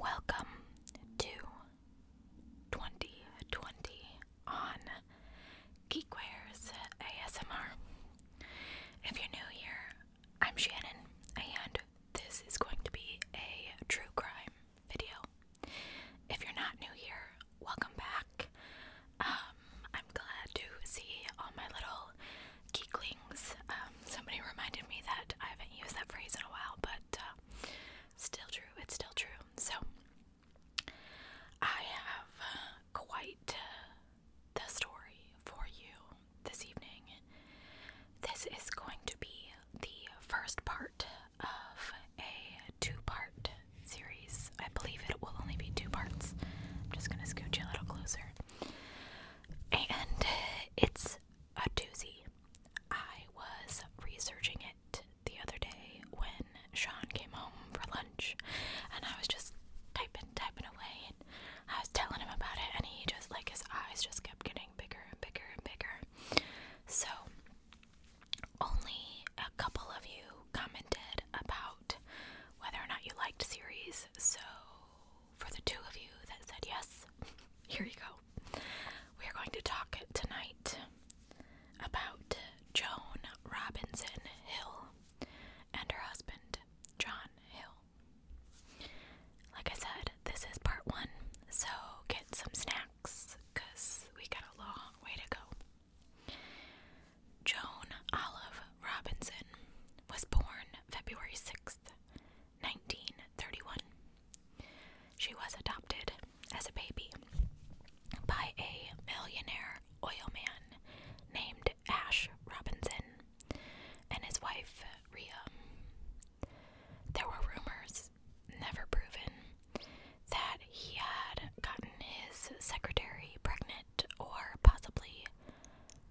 Welcome to 2020 on Geekwares ASMR. If you're new here, I'm Shannon, and this is going to be a true crime video. If you're not new here, welcome back. Um, I'm glad to see all my little geeklings. Um, somebody reminded me that I haven't used that phrase in a while, but uh, still true. It's still true. So, I have uh, quite uh, the story for you this evening. This is going to be the first part of a two part series. I believe it will only be two parts. I'm just going to scooch you a little closer. And uh, it's a doozy. I was researching it the other day when Sean came home for lunch and I was just typing, typing away and I was telling him about it and he just like his eyes just kept getting bigger and bigger and bigger. So only a couple of you commented about whether or not you liked series, so for the two of you that said yes, here you go. We are going to talk tonight about Joan Robinson Hill and her husband, John Hill. Like I said, this is part one, so get some snacks because we got a long way to go. Joan Olive Robinson was born February 6th, 1931. She was adopted as a baby by a millionaire oil man named Ash Robinson and his wife Ria. There were rumors, never proven, that he had gotten his secretary pregnant or possibly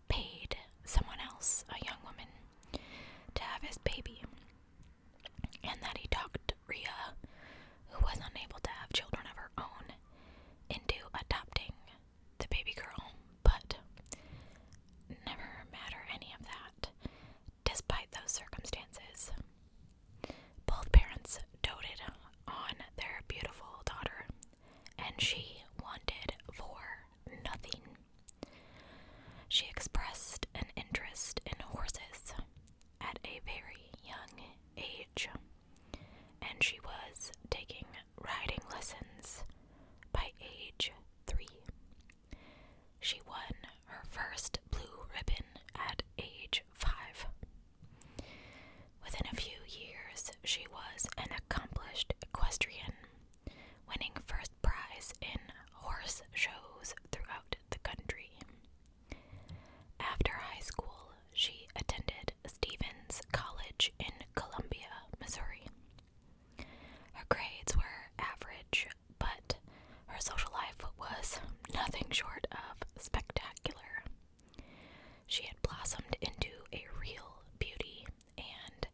paid someone else, a young woman, to have his baby and that he talked Ria, who was unable to have children of her own, into adopting the baby girl, but never matter any of that. Despite those circumstances, both parents doted on their beautiful daughter, and she wanted for nothing. She expressed an interest in horses at a very young age, and she was taking riding lessons by age three. She won her first blue ribbon at age five. Within a few years, she was an accomplished equestrian, winning first prize in horse shows throughout the country. After high school, she attended Stevens College in Columbia, Missouri. Her grades were average, but her social life was nothing short of spectacular. She had blossomed into a real beauty, and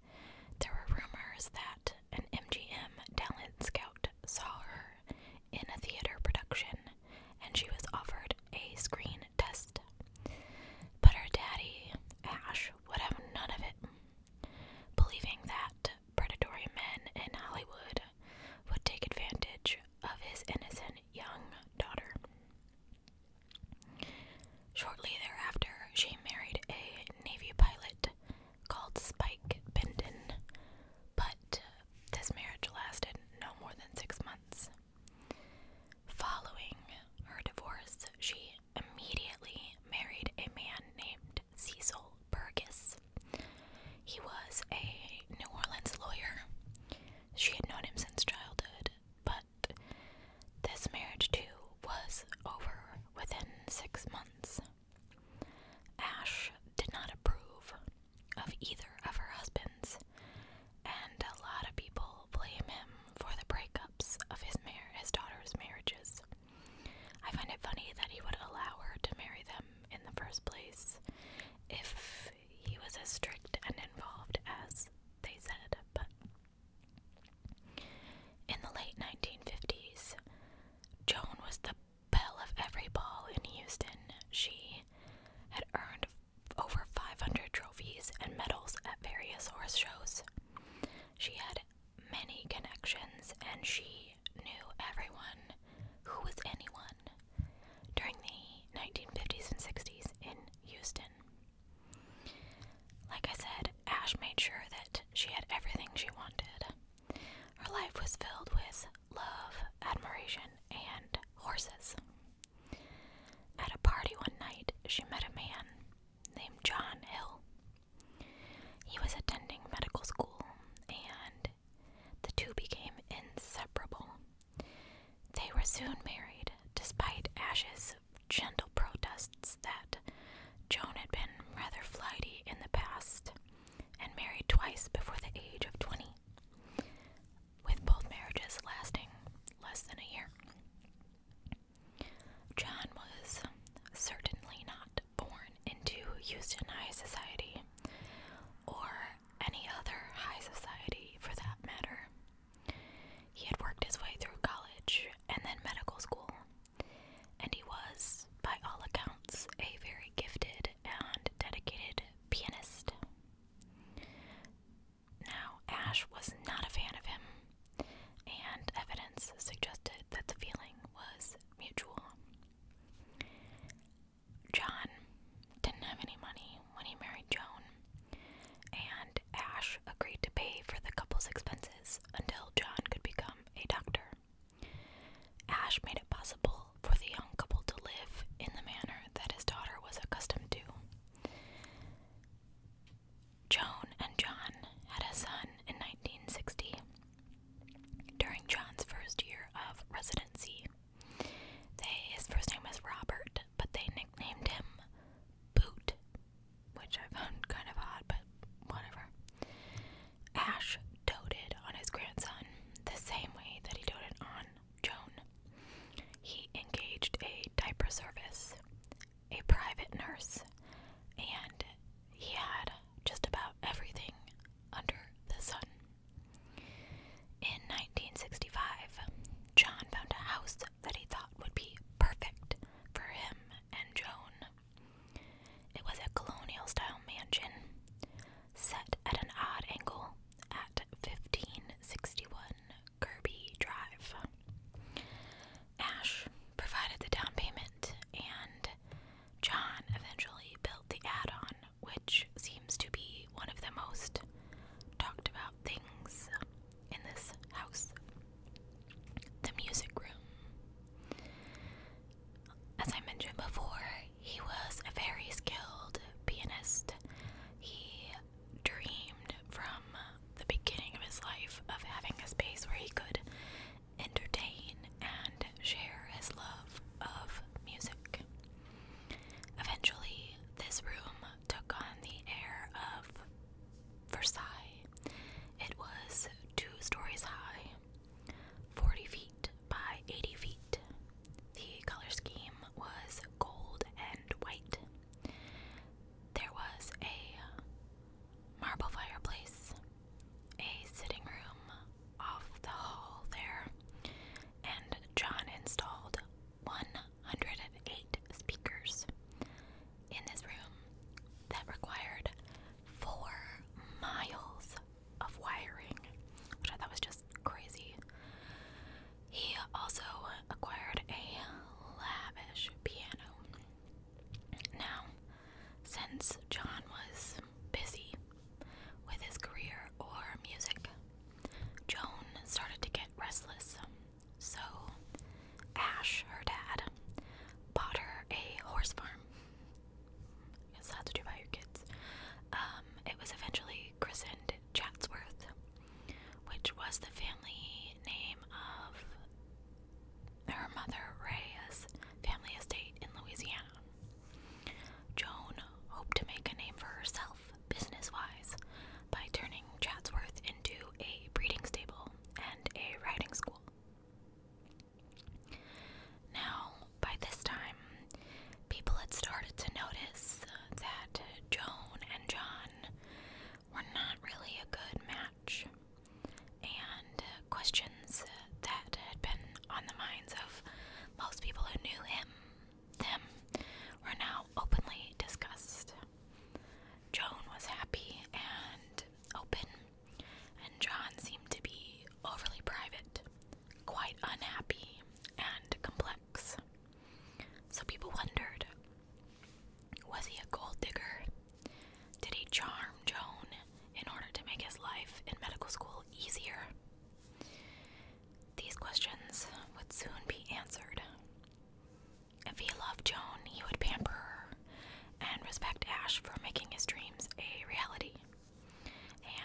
there were rumors that an MGM talent scout saw her in a theater production, and she was offered a screen test. But her daddy, Ash, would have none of it, believing that predatory men in Hollywood would take advantage of his innocent young daughter. Shortly thereafter, she married a Navy pilot called Spike Benton, but this marriage lasted no more than six months. Following her divorce, she immediately married a man named Cecil Burgess. He was a New Orleans lawyer. She had known him since childhood, but this marriage too was over within six months. Ash did not approve of either of her husbands, and a lot of people blame him for the breakups of his, daughter's marriages. I find it funny that he would allow her to marry them in the first place if he was as strict and involved as they said, but. In the late 1950s, Joan was the belle of every ball in Houston, she had earned over 500 trophies and medals at various horse shows. She had many connections and she knew everyone who was anyone during the 1950s and 60s in Houston. Like I said, Ash made sure that she had everything she wanted. Her life was filled with love, admiration, and horses. At a party one night, she met a man named John Hill. He was attending medical school, and the two became inseparable. They were soon married, despite Ash's gentle protests that Joan had been rather flighty in the past and married twice before the age of 20, with both marriages lasting less than a year. John was certainly not born into Houston High Society or any other high society for that matter. He had worked his way through college and then medical school and he was, by all accounts, a very gifted and dedicated pianist. Now, Ash was not a fan of him, and evidence suggested that the feeling was mutual. John didn't have any money when he married Joan, and Ash agreed to pay for the couple's expenses until John could become a doctor. Ash made it possible for the young couple to live in the manner that his daughter was accustomed to. Joan and John had a son in 1960 during John's first year of residency. They, his first name was Robert, but they nicknamed him Boot, which I found kind of odd, but whatever. Ash doted on his grandson the same way that he doted on Joan. He engaged a diaper service, a private nurse, and he had just about everything under the sun. In 1965, John found a house that he thought would be perfect for him and Joan. It was a colonial style mansion set at an odd angle at 1561 Kirby Drive. Ash provided the down payment, and John eventually built the add on, which seems to be one of the most talked about things in this house the music room as I mentioned before, he was a very skilled pianist. He dreamed from the beginning of his life of having a space where he could entertain and share his love of music. Eventually, this room took on the air of Versailles. It was two stories high 40 feet by 80 feet. The color scheme was gold and white. There was a marble fireplace, a sitting room off the hall there, and John installed 108 speakers in this room that required four miles of wiring, which I thought was just crazy. He also acquired a lavish piano. Now, since John was busy with his career or music, Joan started to get restless. So, Ash, her dad, bought her a horse farm. Because that's what you buy your kids. Um, it was eventually christened Chatsworth, which was the family name of her mother Ray's family estate in Louisiana. Joan hoped to make a name for herself business wise by turning Chatsworth into a breeding stable and a riding school. Now, by this time, people had started to notice uh, that Joan and John were not really a good match, and uh, questions that had been on the minds of most people who knew him, them, were now openly discussed. Joan was happy and open and John seemed to be overly private, quite unhappy, and complex. So people wondered was he a gold digger? Did he charm Joan in order to make his life in medical school easier? These questions would soon be answered. If he loved Joan, he would pamper her and respect Ash for making his dreams a reality.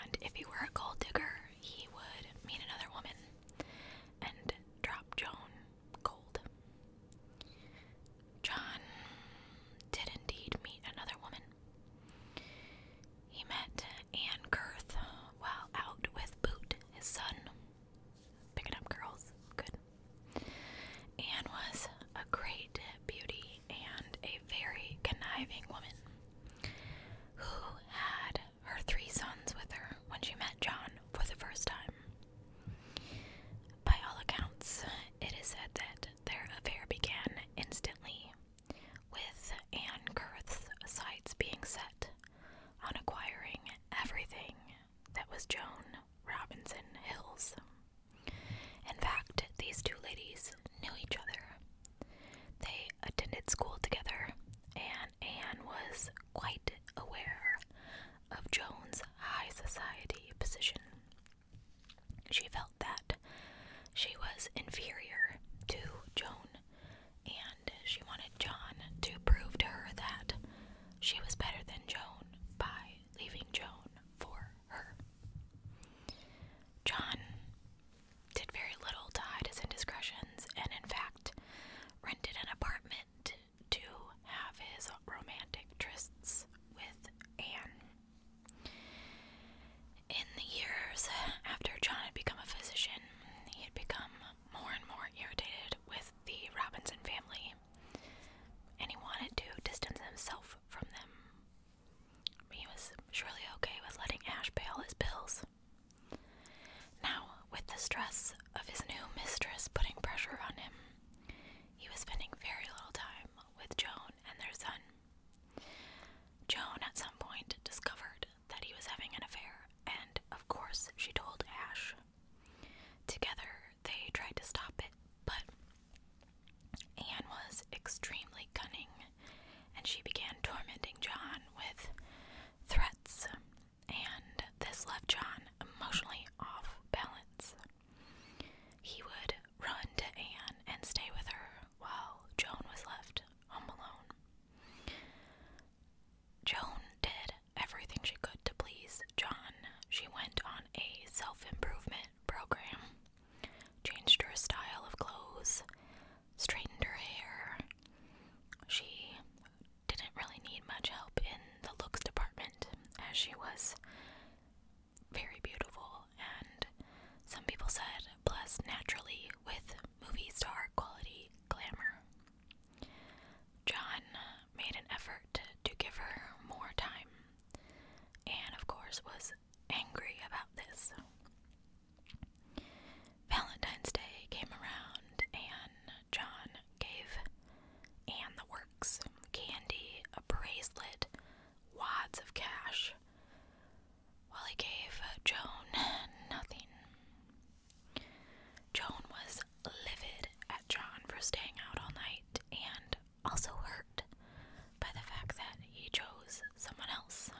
And if he were a gold digger, he would meet another woman and drop Joan cold. John did indeed meet another woman. He met Anne Kurth while out with Boot, his son. Picking up girls, good. Anne was a great beauty and a very conniving woman who had her three sons with her when she met John for the first time. By all accounts, it is said that their affair began instantly, with Anne Curth's sights being set on acquiring everything that was Joan Robinson Hill's. In fact, these two ladies knew each other. They attended school together, and Anne was quite aware of Joan's high society position. She felt that she was inferior to Joan, and she wanted John to prove to her that she was better than Joan by leaving Joan for her. John did very little to hide his indiscretions and, in fact, rented an apartment to have his romantic trysts with Anne. In the years after John had become a physician, he had become more and more irritated with the Robinson family, and he wanted to distance himself from them he was surely okay with letting Ash pay all his bills. Now, with the stress of his new mistress putting pressure on him, he was spending very little time with Joan and their son. Joan at some point discovered that he was having an affair, and of course, she told Ash. Together, they tried to stop it, but Anne was extremely cunning, and she began tormenting John with threats, and this left John emotionally off balance. He would run to Anne and stay with her while Joan was left home alone. Joan did everything she could to please John. She went on a self improvement program changed her style of clothes, straightened her hair. She didn't really need much help in the looks department as she was very beautiful and some people said blessed naturally with movie star quality glamour. John made an effort to give her more time and of course was angry about this. Valentine's Day came around, and John gave Anne the works candy, a bracelet, wads of cash, while he gave Joan nothing. Joan was livid at John for staying out all night and also hurt by the fact that he chose someone else.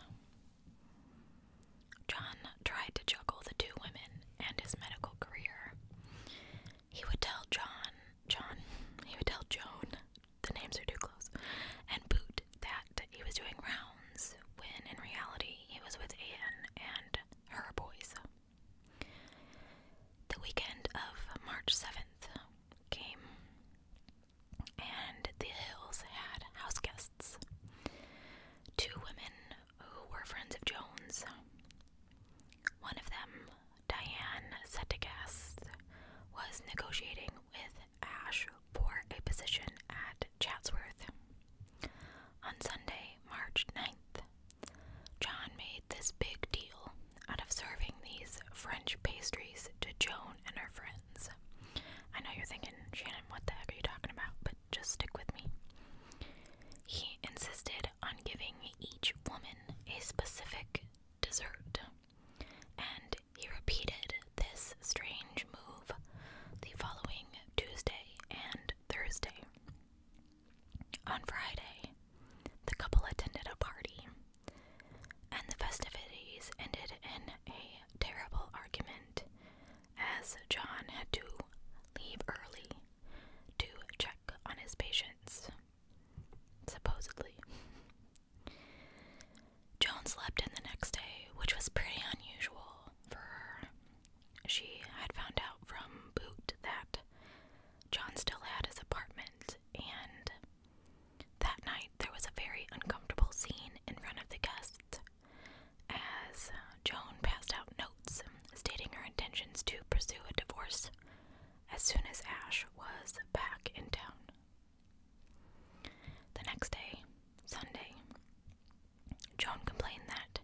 John tried to juggle the two women and his medical career. He would tell John, John, he would tell Joan, the names are too close, and Boot that he was doing rounds when in reality he was with Anne and her boys. The weekend of March 7th came, and the Hills had house guests two women who were friends of Jones. One of them, Diane Settegast, was negotiating with Ash for a position at Chatsworth. On Sunday, March 9th, John made this big deal out of serving these French pastries to Joan and her friends. I know you're thinking, Shannon, what the heck are you talking about? But just stick with me. He insisted on giving each woman a specific dessert, and he repeated this strange move the following Tuesday and Thursday. On Friday, the couple attended a party and the festivities ended in a terrible argument as John had to leave early to check on his patients, supposedly. Joan slept in the next day, which was pretty unusual for her. She had found out from Boot that John still had his apartment and that night, there was a very uncomfortable scene in front of the guests as uh, Joan passed out notes stating her intentions to pursue a divorce as soon as Ash was back in town. The next day, Sunday, Joan complained that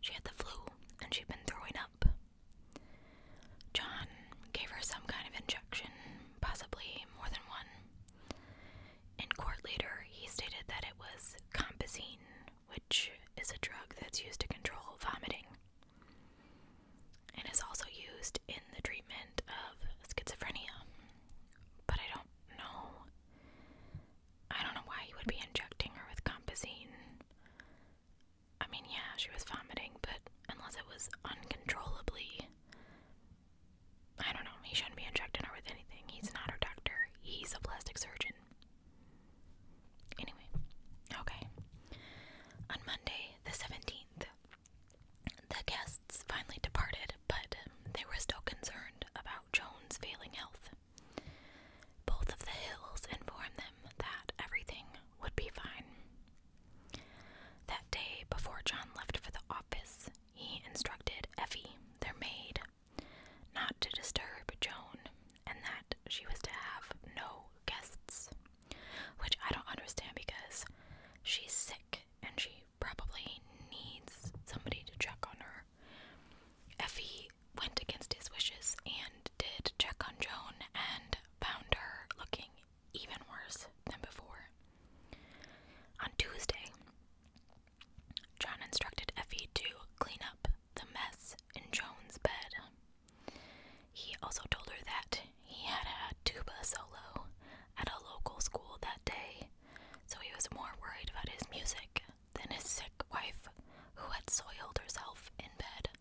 she had the flu and she'd been throwing up John gave her some kind of injection, possibly more than one. In court later, he stated that it was compazine, which is a drug that's used to control vomiting and is also used in the treatment of schizophrenia. But I don't know. I don't know why he would be injecting her with compazine. I mean, yeah, she was vomiting, but unless it was uncontrollably. I don't know, he shouldn't be injecting her with anything. He's not her doctor, he's a plastic surgeon. Anyway, okay. On Monday, the 17th, the guests finally departed, but they were still concerned about Joan's failing health. Both of the Hills informed them that everything would be fine. That day, before John left for the office, he instructed Effie, their maid, not to disturb Joan, and that she was to have no guests. Which I don't understand because she's sick and she probably needs somebody to check on her. Effie went against his wishes and did check on Joan, and found her looking even worse than before. On Tuesday, John instructed Effie to clean up the mess in Joan's bed. He also told her that he had a tuba solo at a local school that day, so he was more worried about his music than his sick wife, who had soiled herself in bed.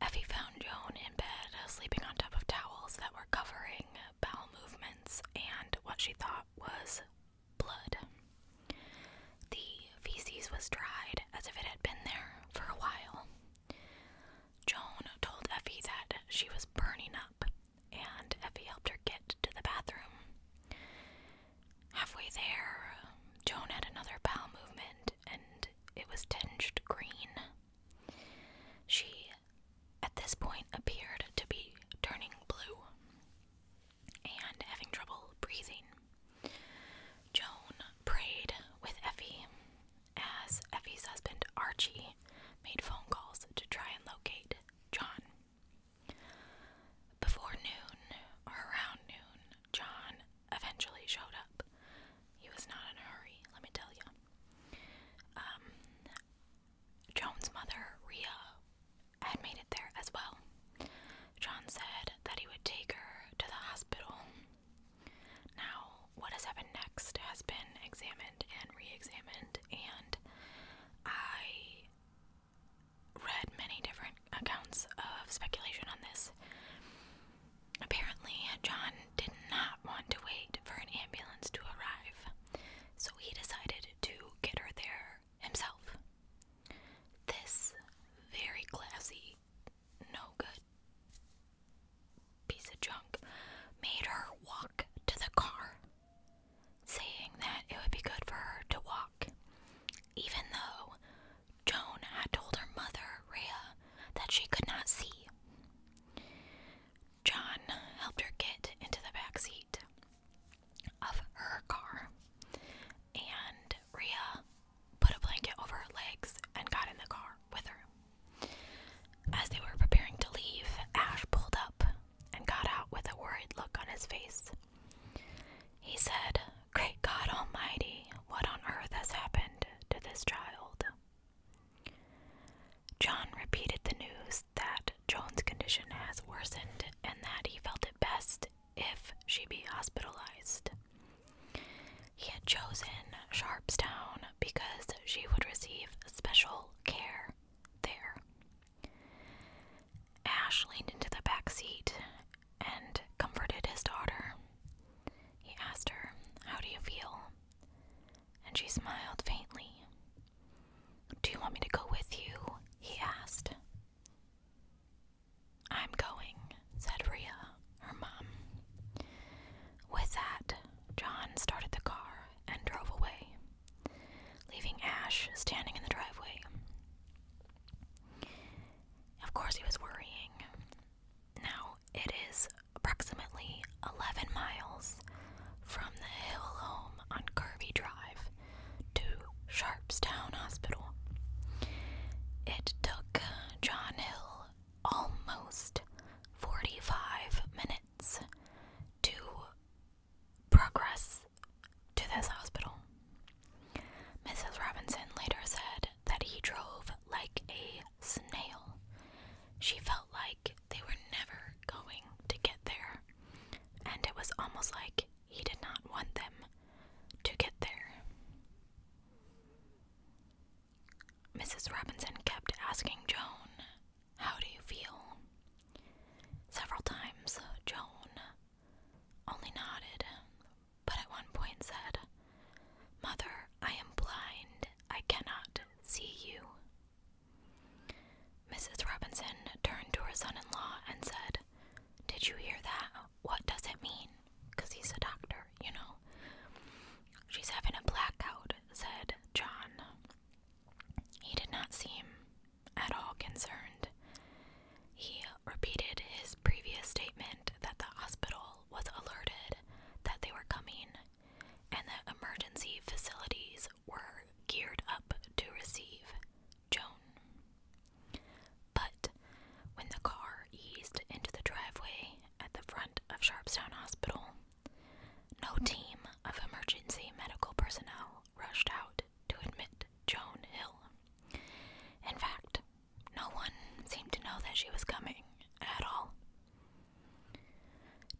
Effie found Joan in bed, sleeping on top of towels that were covering bowel movements and what she thought was blood. The feces was dried as if it had been there for a while. Joan told Effie that she was burning up, and Effie helped her get to the bathroom. Halfway there, Joan had another bowel movement and it was tinged green. She, at this point, appeared to be turning blue and having trouble breathing. Joan prayed with Effie as Effie's husband Archie made phone calls to try and locate John. Before noon, or around noon, John eventually showed up. He was not in a hurry, let me tell you. Um, John's mother, Ria, had made it there as well. John said that he would take her to the hospital. Now, what has happened next has been examined and re examined, and I read many different accounts of speculation on this. Apparently, John did not want to wait for an ambulance to arrive, so he decided to get her there himself. This very classy, no good piece of junk made her walk to the car, saying that it would be good for her to walk, even though Joan had told her mother, Rhea, that she could not see. John helped her get into the back seat of her car, and Rhea put a blanket over her legs and got in the car with her. As they were preparing to leave, Ash pulled up and got out with a worried look on his face. He said, Great God Almighty, what on earth has happened to this child? John repeated the news that Joan's condition has worsened and that he felt it best if she be hospitalized. He had chosen Sharpstown because she would receive special care there. Ash leaned into the back seat and comforted his daughter. He asked her, How do you feel? And she smiled faintly. Do you want me to go with you? he asked. I'm going, said Ria, her mom. With that, John started the car and drove away, leaving Ash standing in the driveway. Of course, he was worrying. Now, it is approximately 11 miles from the hill home on Kirby Drive to Sharpstown Hospital. It took John Hill almost 45 minutes to progress to this hospital. Mrs. Robinson later said that he drove like a snail. She felt like they were never going to get there, and it was almost like he did not want them to get there. Mrs. Robinson kept asking Joan, How do you feel? Several times, Joan only nodded, but at one point said, Mother, I am blind. I cannot see you. Mrs. Robinson turned to her son in law and said, Did you hear that? What does it mean? Because he's a doctor, you know. She's having a blackout, said John. He did not seem at all concerned. He repeated his previous statement that the hospital was alerted that they were coming and that emergency facilities were geared up to receive Joan. But when the car eased into the driveway at the front of Sharpstown Hospital, no team of emergency medical personnel rushed out to admit Joan Hill. In fact, no one seemed to know that she was coming at all.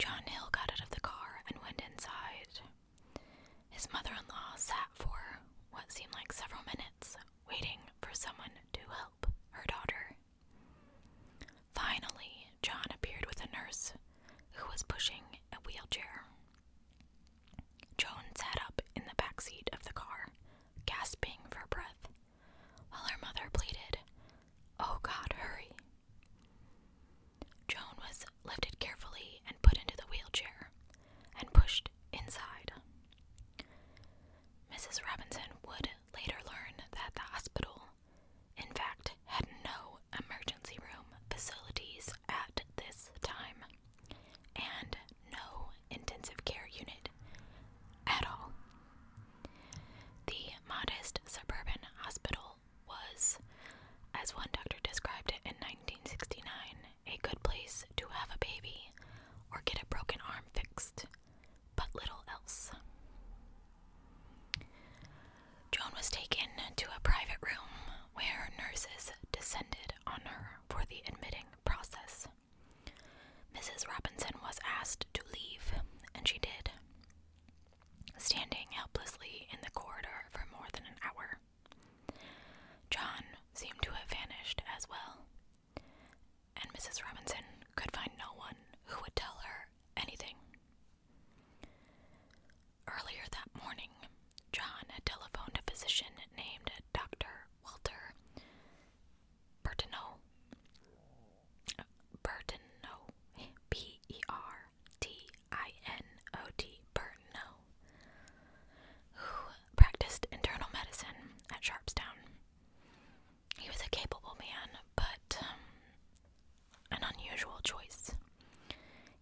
John Hill got out of the car and went inside. His mother in law sat for what seemed like several minutes, waiting for someone to help her daughter. Finally, John appeared with a nurse who was pushing a wheelchair. Joan sat up in the back seat of the car, gasping for breath, while her mother pleaded, Oh God, hurry. Joan was lifted carefully and put into the wheelchair and pushed inside. Mrs. Robinson would later learn that the hospital, in fact, had no emergency room facilities at this time and no intensive care unit at all. The modest suburban hospital was, as one doctor described it in 1969, a good place to have a baby or get a broken arm fixed, but little else. Joan was taken to a private room where nurses descended on her for the admitting process. Mrs. Robinson was asked to leave, and she did, standing helplessly in the corridor for more than an hour. John seemed to have vanished as well, and Mrs. Robinson could find no one who would tell her anything. Earlier that morning, John had telephoned a physician named Dr. Walter Bertineau. Bertineau. B E R T I N O T. Bertineau. Who practiced internal medicine at Sharpstown. He was a capable man, but um, an unusual choice.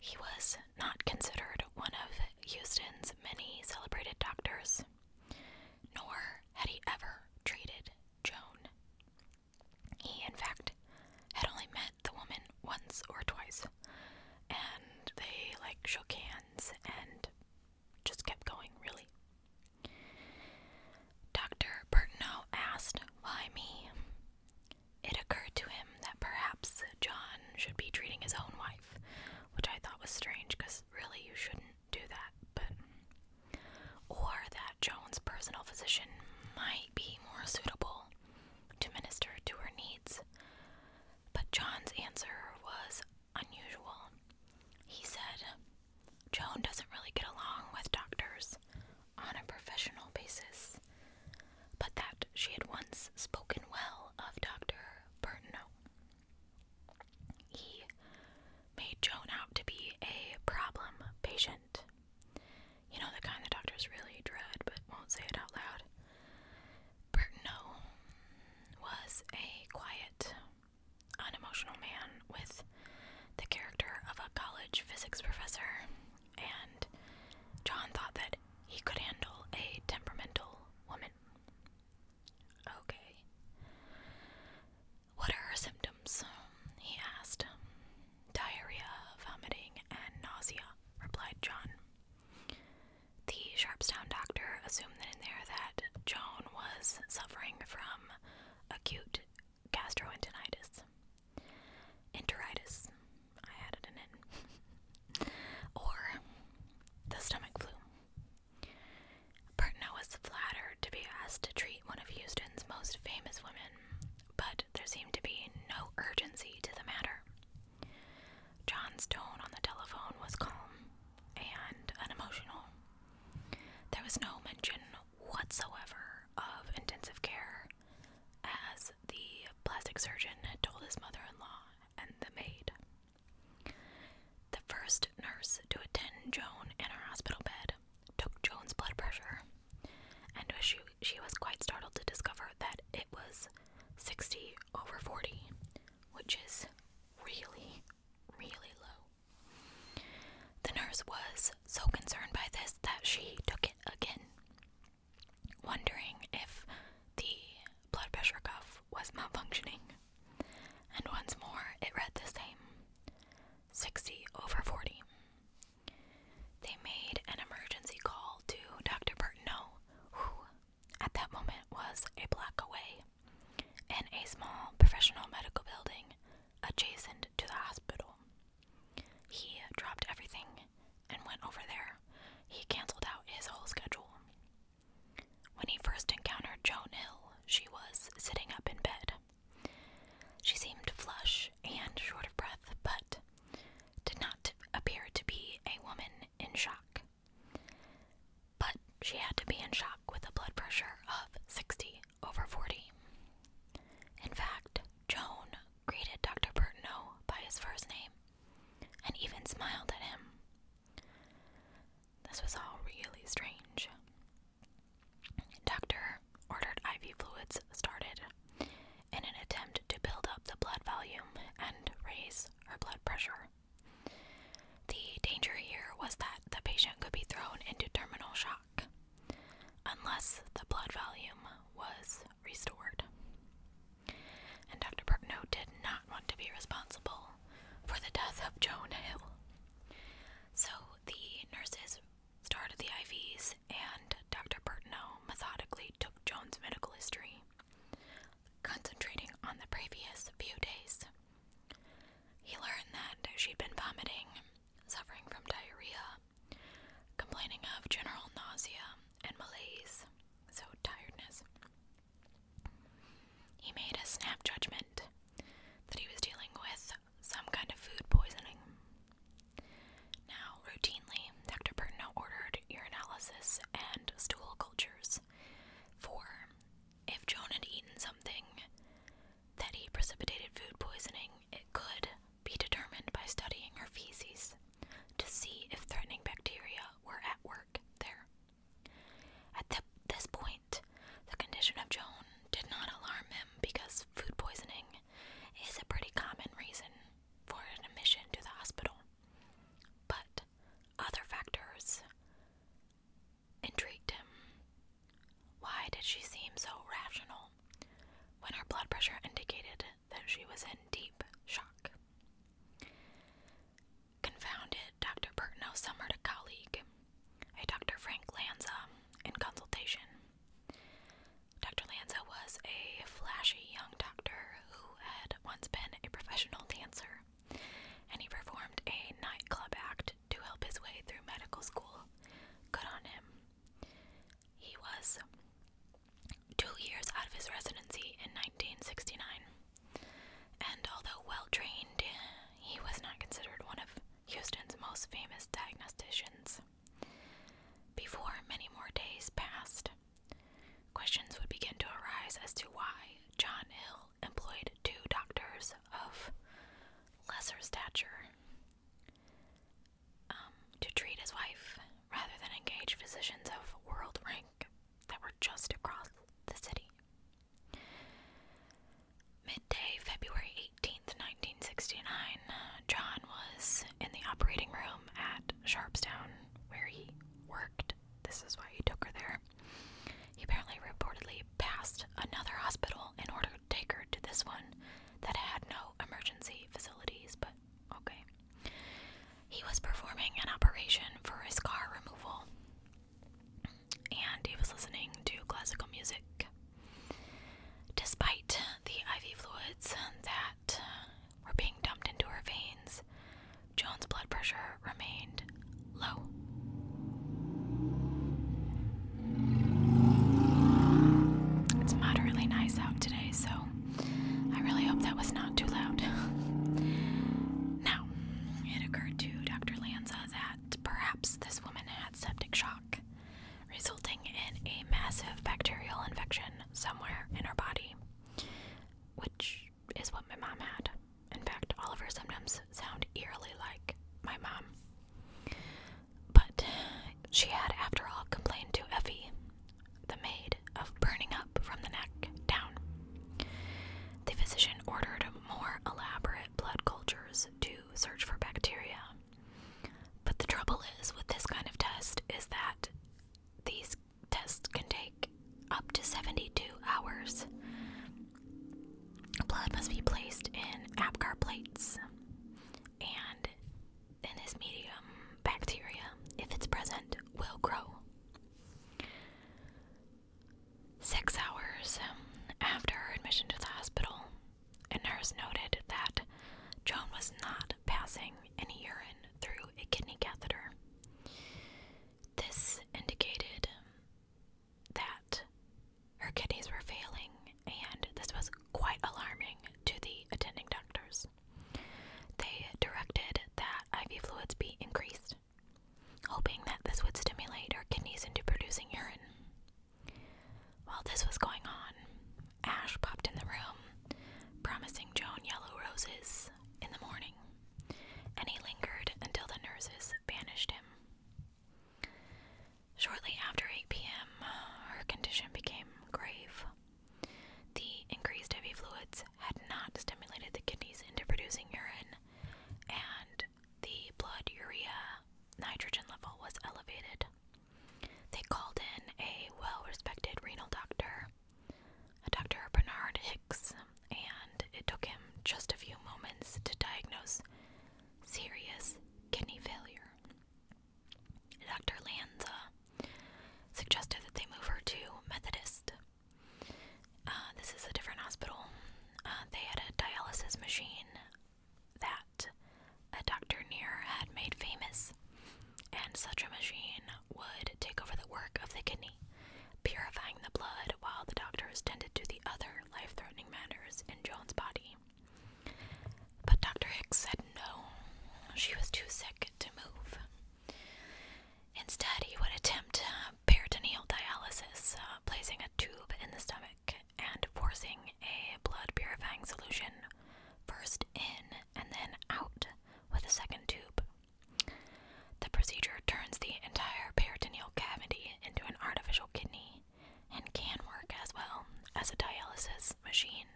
He was not considered one of Houston's many celebrated doctors, nor had he ever treated Joan. He, in fact, had only met the woman once or twice, and they like shook hands and just kept going, really. Dr. Burtnow asked, Why me? It occurred to him that perhaps John should be treating his own wife which I thought was strange because really you shouldn't do that. But or that Joan's personal physician might be more suitable to minister to her needs. But John's answer was unusual. He said, Joan doesn't really get along with doctors on a professional basis, but that she had once spoken well of Dr. Burton he made Joan out to be a problem patient. You know, the kind the doctors really dread but won't say it out loud. Bertineau was a quiet, unemotional man with the character of a college physics professor, and John thought that he could handle a temperamental woman. Okay. What are her symptoms? He asked. Diarrhea, vomiting, and nausea, replied John. The Sharpstown doctor assumed that in there that Joan was suffering from acute gastroenteritis. Enteritis. I added in. or the stomach flu. Burton was flattered to be asked to treat one of Houston's most famous women, but there seemed to be no urgency to the matter. John's tone on the telephone was calm and unemotional. There was no mention whatsoever of intensive care, as the plastic surgeon had told his mother in law and the maid. The first nurse to attend Joan in her hospital bed took Joan's blood pressure, and she, she was quite startled to discover that it was 60 over 40, which is really, really low. The nurse was so concerned by this that she took it again, wondering if the blood pressure cuff was malfunctioning. And once more it read the same 60 over 40. They made an emergency call to Dr. Burtneau, who at that moment was a block away in a small professional medical building adjacent to the hospital. He dropped everything and went over there. He canceled out his whole schedule. When he first encountered Joan Hill, she was sitting up in bed. She seemed flush and short of breath, but did not appear to be a woman in shock. But she had to be in shock with a blood pressure of 60 over 40. In fact, Joan greeted Dr. Bertineau by his first name and even smiled at him. This was all really strange. Doctor ordered IV fluids started in an attempt to build up the blood volume and raise her blood pressure. The danger here was that the patient could be thrown into terminal shock unless the blood volume was restored and Dr. Burtno did not want to be responsible for the death of Joan Hill. So the nurses started the IVs, and Dr. Burtno methodically took Joan's medical history, concentrating on the previous few days. He learned that she'd been vomiting, suffering from diarrhea, complaining of general nausea and malaise, so tiredness, he made a snap judgment that he was dealing with some kind of food poisoning. Now, routinely, Dr. Pertino ordered urinalysis and stool cultures for if Joan had eaten something that he precipitated food poisoning, it could be determined by studying her feces to see if threatening bacteria were at work there. At this point, the condition of Joan did not alarm him because food poisoning is a pretty common reason for an admission to the hospital. But other factors intrigued him. Why did she seem so rational when her blood pressure indicated that she was in deep shock. Confounded, Dr. Pertnow summoned a colleague, a Dr. Frank Lanza, in consultation. Dr. Lanza was a flashy young doctor who had once been a professional dancer, and he performed a nightclub act to help his way through medical school. Good on him. He was two years out of his residency in 1969. And although well trained, he was not considered one of Houston's most famous diagnosticians. Before many more days passed, questions would begin to arise as to why John Hill employed two doctors of lesser stature um, to treat his wife rather than engage physicians of world rank that were just across the city. Midday, February 18th, 1969, John was in the operating room at Sharpstown where he worked. This is why he took her there. He apparently reportedly passed another hospital in order to take her to this one that had no emergency facilities but Okay. He was performing an operation for his scar removal and he was listening to classical music. Despite the IV fluids that were being dumped into her veins, Joan's blood pressure remained low. It's moderately nice out today, so I really hope that was not too loud. now, it occurred to Dr. Lanza that perhaps this woman had septic shock, resulting in a massive bacterial infection somewhere in her body, which is what my mom had. In fact, all of her symptoms sound eerily like my mom. But she had, after all, complained to Effie, the maid of burning up from the neck down. The physician ordered more elaborate blood cultures to search for bacteria. But the trouble is with this kind of test is that these tests can take up to 72 hours. Blood must be placed in agar plates, and in this medium, bacteria, if it's present, will grow. Six hours after her admission to the hospital, a nurse noted that Joan was not passing any urine through a kidney catheter. This indicated that her kidneys were failing, and this was quite alarming to the attending doctors. They directed that IV fluids be increased, hoping that this would stimulate our kidneys into producing urine. While this was going on, Ash popped in the room, promising Joan yellow roses in the morning, and he lingered until the nurses banished him. Shortly after 8 p.m., her condition became grave. The increased heavy fluids had not stimulated the kidneys into producing urine, and the blood urea nitrogen level was elevated. They called in a well respected renal doctor, Dr. Bernard Hicks, and it took him just a few moments to diagnose serious kidney failure. Dr. Lanza suggested that they move her to Methodist. Uh, this is a different hospital. Uh, they had a dialysis machine that a Dr. near had made famous, and such a machine would take over the work of the kidney, purifying the blood while the doctors tended to the other life threatening matters in Joan's body. But Dr. Hicks said no, she was too sick to move. Instead, he would attempt uh, peritoneal dialysis, uh, placing a tube in the stomach and forcing a blood purifying solution first in and then out with a second tube. The procedure turns the entire peritoneal cavity into an artificial kidney and can work as well as a dialysis machine.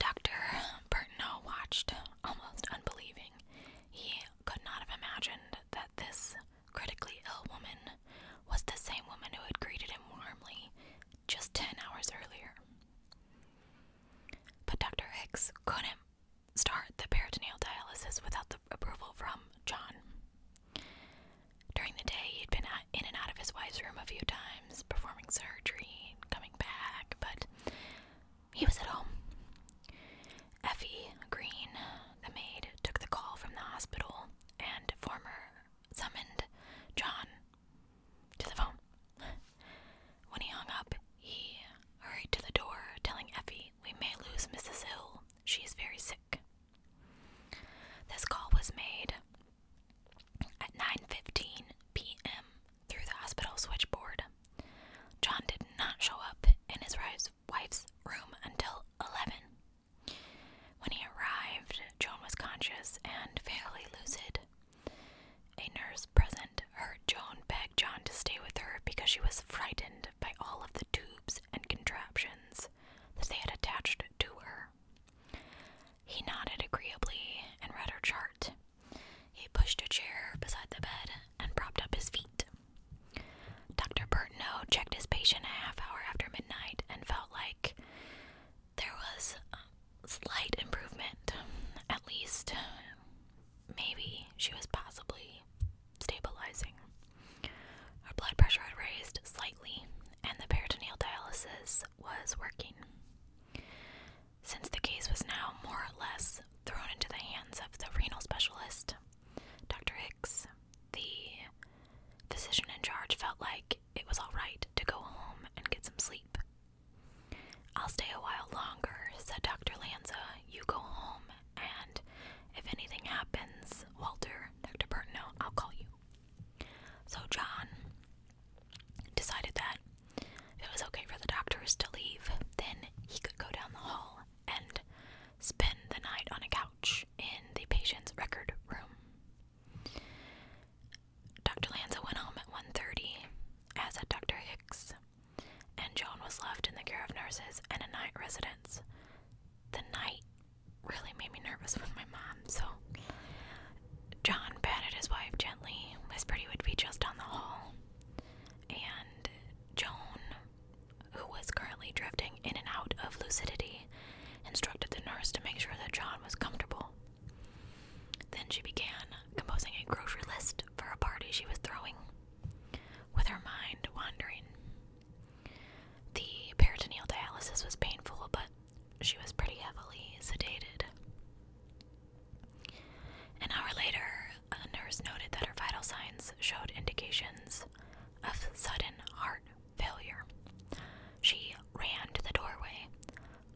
Dr. Burtnow watched, almost unbelieving. He could not have imagined that this critically ill woman was the same woman who had greeted him warmly just ten hours earlier. But Dr. Hicks couldn't start the peritoneal dialysis without the approval from John. During the day, he'd been in and out of his wife's room a few times, performing surgery and coming back, but he was at home. Effie Green, the maid, took the call from the hospital and former summoned John to the phone. When he hung up, he hurried to the door, telling Effie, We may lose Mrs. Hill. She is very sick. This call was made at 9:15 p.m. through the hospital switchboard, John did not show up in his wife's room until 11. When he arrived, John was conscious and fairly lucid. A nurse present heard John beg John to stay with her because she was frightened by all of the tubes and contraptions that they had attached to her. He nodded agreeably and read her chart. He pushed a chair beside the bed and propped up his feet. Dr. Burtno checked his patient a half hour after midnight and felt like there was slight improvement. At least, maybe she was possibly stabilizing. Her blood pressure had raised slightly, and the peritoneal dialysis was working. Since the case was now more or less thrown into the hands of the renal specialist, Dr. Hicks, the physician in charge, felt like it was all right to go home and get some sleep. I'll stay a while longer, said Dr. Lanza. You go home, and if anything happens, Walter, Dr. Burton, I'll call you. So John decided that it was okay for the doctors to leave, then he could go down the hall and spend the night on a couch in the patient's record room. Dr. Lanza went home at 1:30, as did Dr. Hicks, and Joan was left in the care of nurses and a night residence. The night really made me nervous with my mom, so John patted his wife gently, whispered he would be just on the hall, and Joan, who was currently drifting in and out of lucidity, instructed the nurse to make sure that John was comfortable. Then she began composing a grocery list for a party she was throwing, with her mind wandering. The peritoneal dialysis was painful, but she was pretty heavily sedated. An hour later, a nurse noted that her vital signs showed indications of sudden heart failure. She ran to the doorway,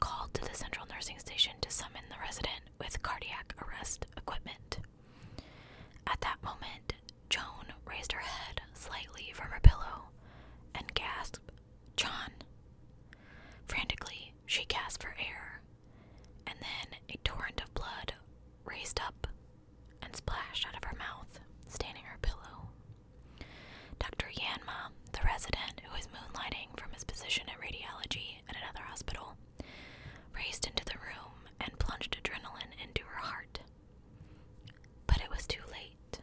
called to the central nursing station to summon the resident with cardiac arrest equipment. At that moment, Joan raised her head slightly from her pillow and gasped John. Frantically, she gasped for air, and then a torrent of blood raced up and splashed out of her mouth, staining her pillow. Dr. Yanma, the resident who was moonlighting from his position at radiology at another hospital, raced into the room and plunged adrenaline into her heart. But it was too late.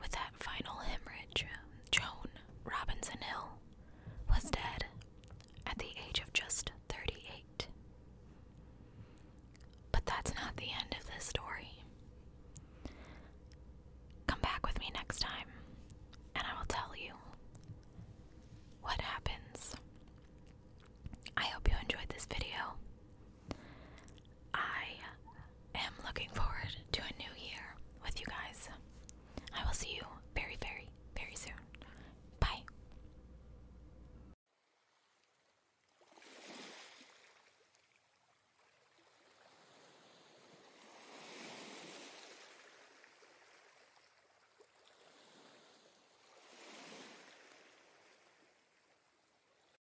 With that final hemorrhage, Joan Robinson Hill was dead at the age of just 38. But that's not the end of this story. Come back with me next time, and I will tell you what happens. I hope you enjoyed this video. I am looking forward to a new year with you guys. I will see you very, very, very soon. Bye.